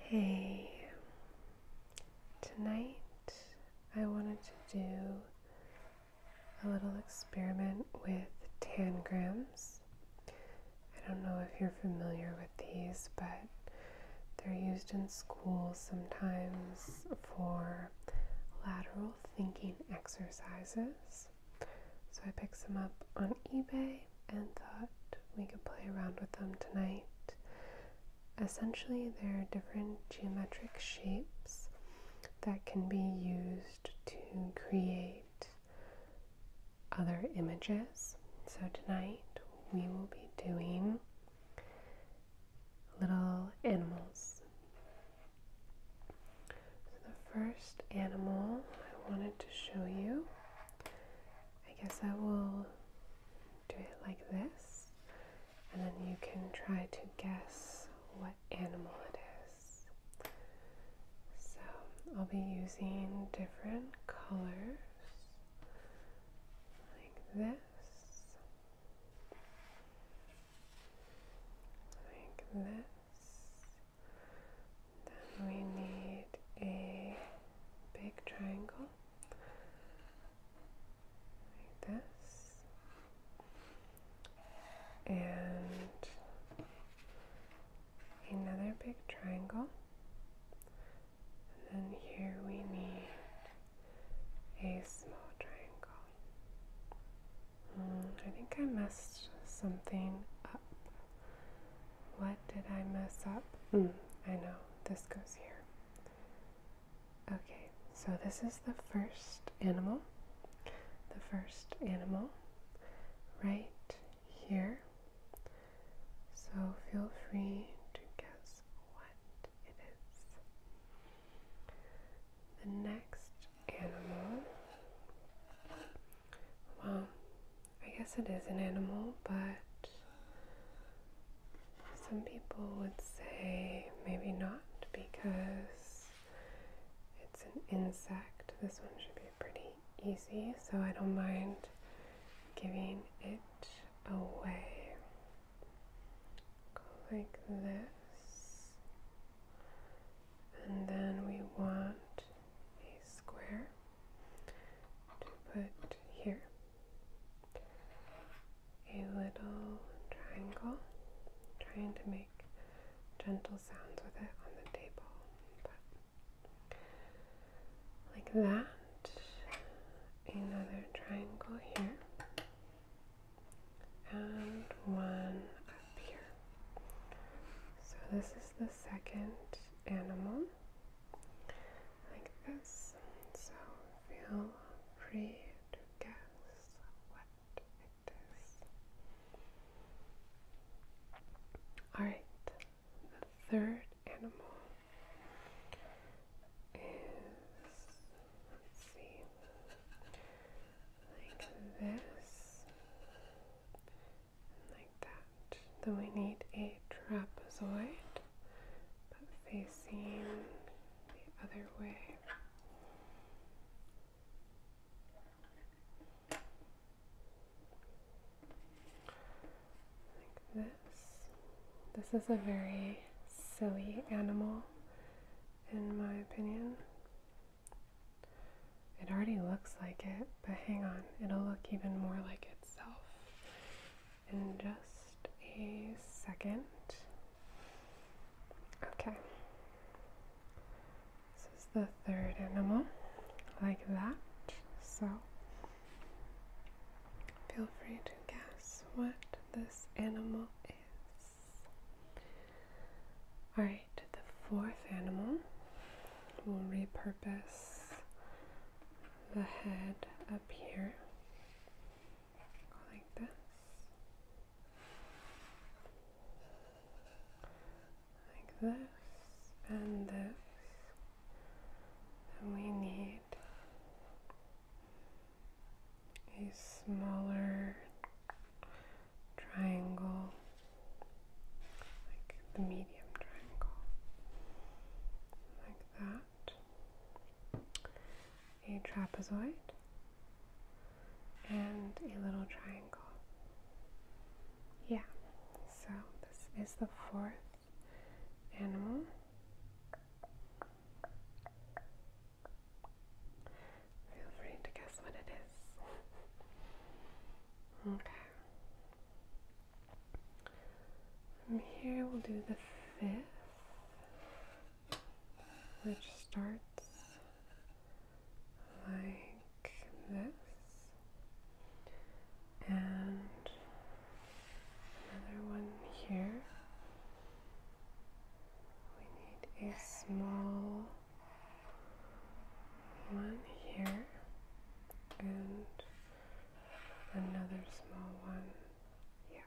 Hey, tonight I wanted to do a little experiment with tangrams. I don't know if you're familiar with these, but they're used in school sometimes for lateral thinking exercises. So I picked some up on eBay and thought we could play around with them tonight. Essentially, they're different geometric shapes that can be used to create other images. So, tonight we will be doing little animals. So, the first animal I wanted to show you I guess I will do it like this, and then you can try to guess what animal it is. So I'll be using different colors like this, like this, then we need a big triangle like this, and another big triangle. And then here we need a small triangle. Hmm, I think I messed something up. What did I mess up? Hmm. I know, this goes here. Okay, so this is the first animal. The first animal right here. So feel free to guess what it is. The next animal. Well, I guess it is an animal, but some people would say maybe not because it's an insect. This one should be pretty easy, so I don't mind giving it away. like this. And then we want a square to put here, a little triangle, trying to make gentle sounds with it on the table, but like that, another triangle here, and one up here. So this is the second animal, like this. So feel free to guess what it is. Alright, the third animal is, let's see, like this, like that. Then we need a trapezoid, but facing the other way. Like this. This is a very silly animal, in my opinion. It already looks like it, but hang on, it'll look even more like itself in just a second. Okay. This is the third animal, like that. So feel free to guess what this animal is. All right, the fourth animal we will repurpose the head up here like this. Like this and this. And we need a smaller triangle, like the medium triangle, like that, a trapezoid, and a little triangle. Yeah, so this is the fourth animal. Feel free to guess what it is. okay. here, we'll do the fifth, which starts like this, and another one here. We need a small one here and another small one here.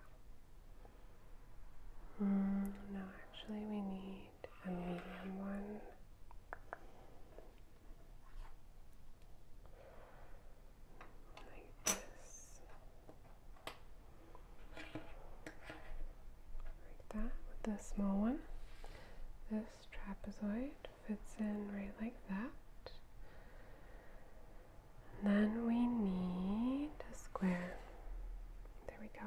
Mm, no, actually, we need a medium one. Like this. Like that with the small one. This trapezoid fits in right like that. then we need a square. There we go.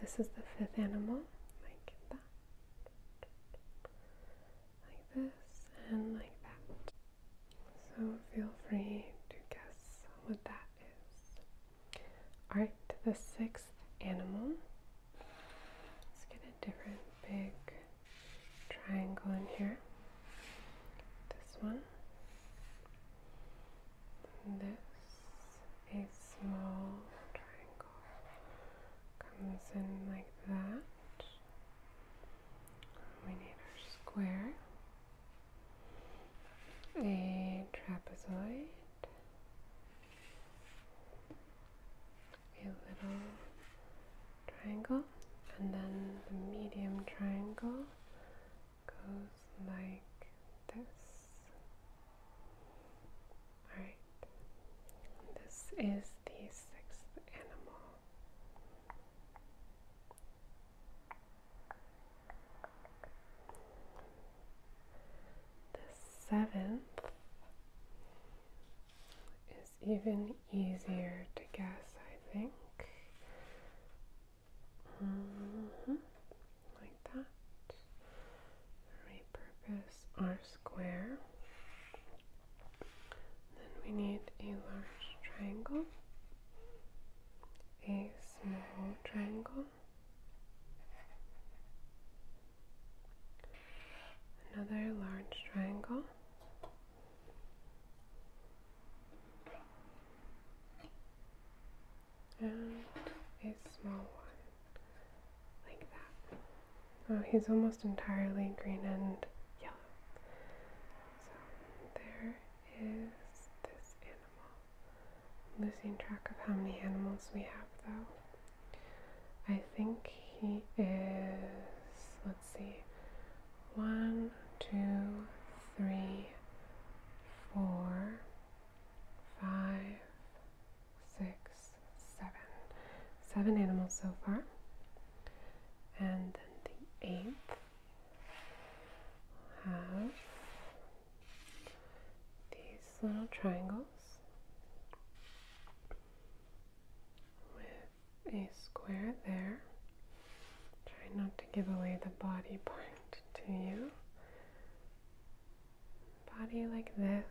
This is the fifth animal, like that, like this, and like that. So feel free to guess what that is. Alright, the sixth animal. Let's get a different big triangle in here. This one. this. A small triangle comes in like that. We need our square a trapezoid, a little triangle, and then the medium triangle goes like this. Alright, this is the sixth animal. The seventh is even easier to guess, I think. Mm Like that. Repurpose R square. Then we need a large triangle a small triangle, another large triangle. And a small one, like that. Oh, he's almost entirely green and yellow. So there is this animal. losing track of how many animals we have though. I think he is, let's see, one, two, three, four, five, six, seven. Seven animals so far. And then the eighth have these little triangles with a square there. Try not to give away the body part to you. Body like this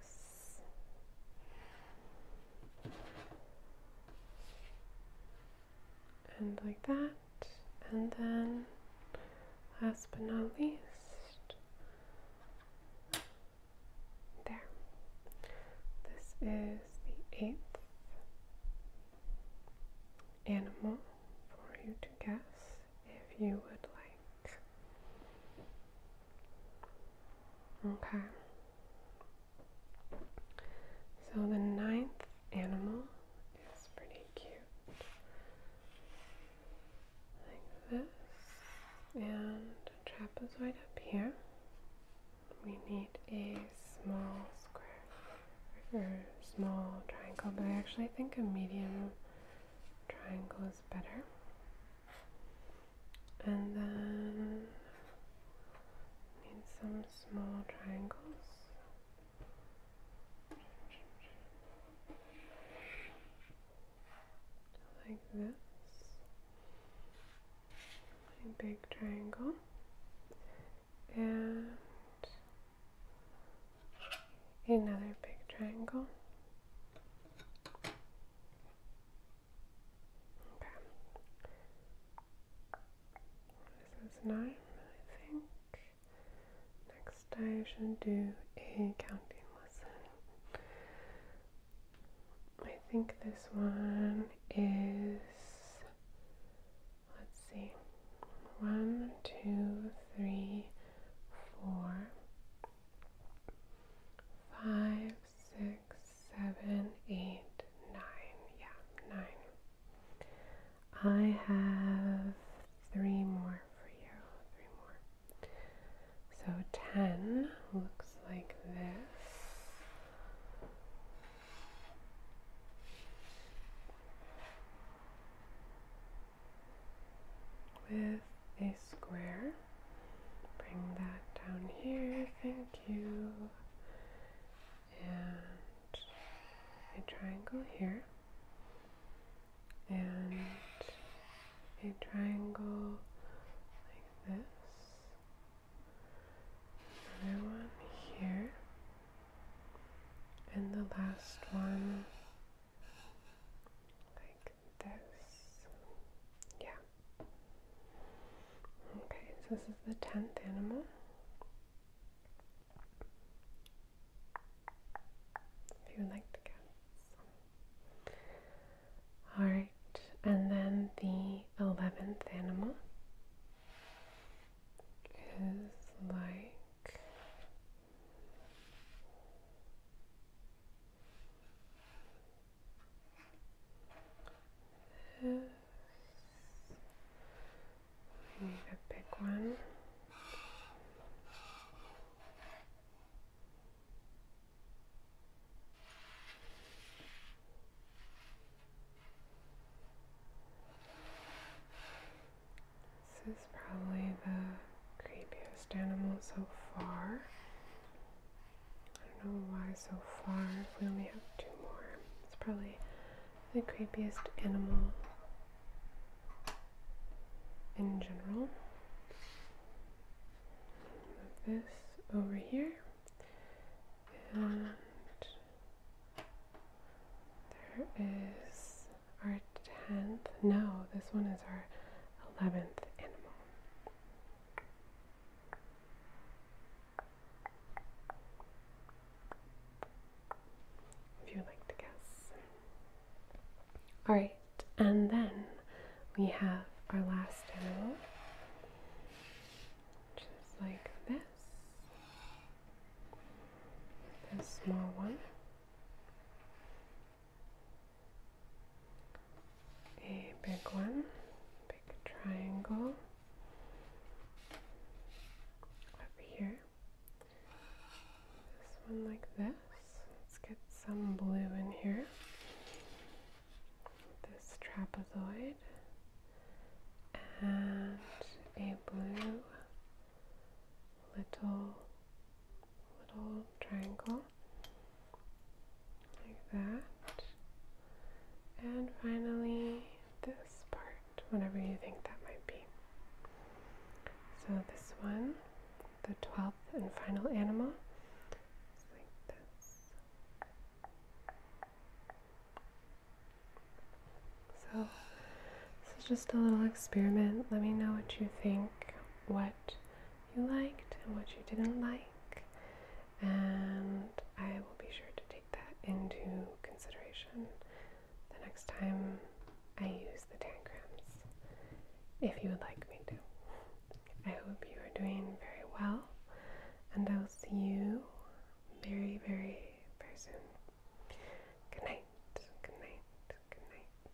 and like that, and then last but not least, there. This is the eighth animal for you to guess if you would like. Okay. So the ninth animal is pretty cute. Like this. And a trapezoid up here. We need a small square or small triangle, but I actually think a medium triangle is better. And then Need some small triangles. Like this. A big triangle. And another big triangle. Okay. This is nine, I think. Next, I should do a counting lesson. I think this one is, let's see, one, two, three, four, five, six, seven, eight, nine. Yeah, nine. I have three more for you. Three more. So ten looks like this. With a square. Bring that down here, you and a triangle here and a triangle like this another one here and the last one like this yeah Okay, so this is the tenth animal. If you would like to guess. Alright, and then the eleventh animal is like Yes. We need a big one. This is probably the creepiest animal so far. I don't know why so far. we only have two more, it's probably the creepiest animal in general. Move this over here, and there is our tenth. No, this one is our eleventh animal if you'd like to guess. Alright, and then we have our last animal, which is like this. This small one a big one, big triangle over here. This one like this. Let's get some blue in here. This trapezoid and a blue little little triangle like that. And finally, this part, whatever you think that might be. So, this one, the 12th and final animal, like this. So, this is just a little experiment. Let me know what you think, what you liked and what you didn't like, and I will be sure to take that into consideration the next time I use the tangrams, if you would like me to. I hope you are doing very well, and I will see you very, very, very soon. Good night, good night, good night.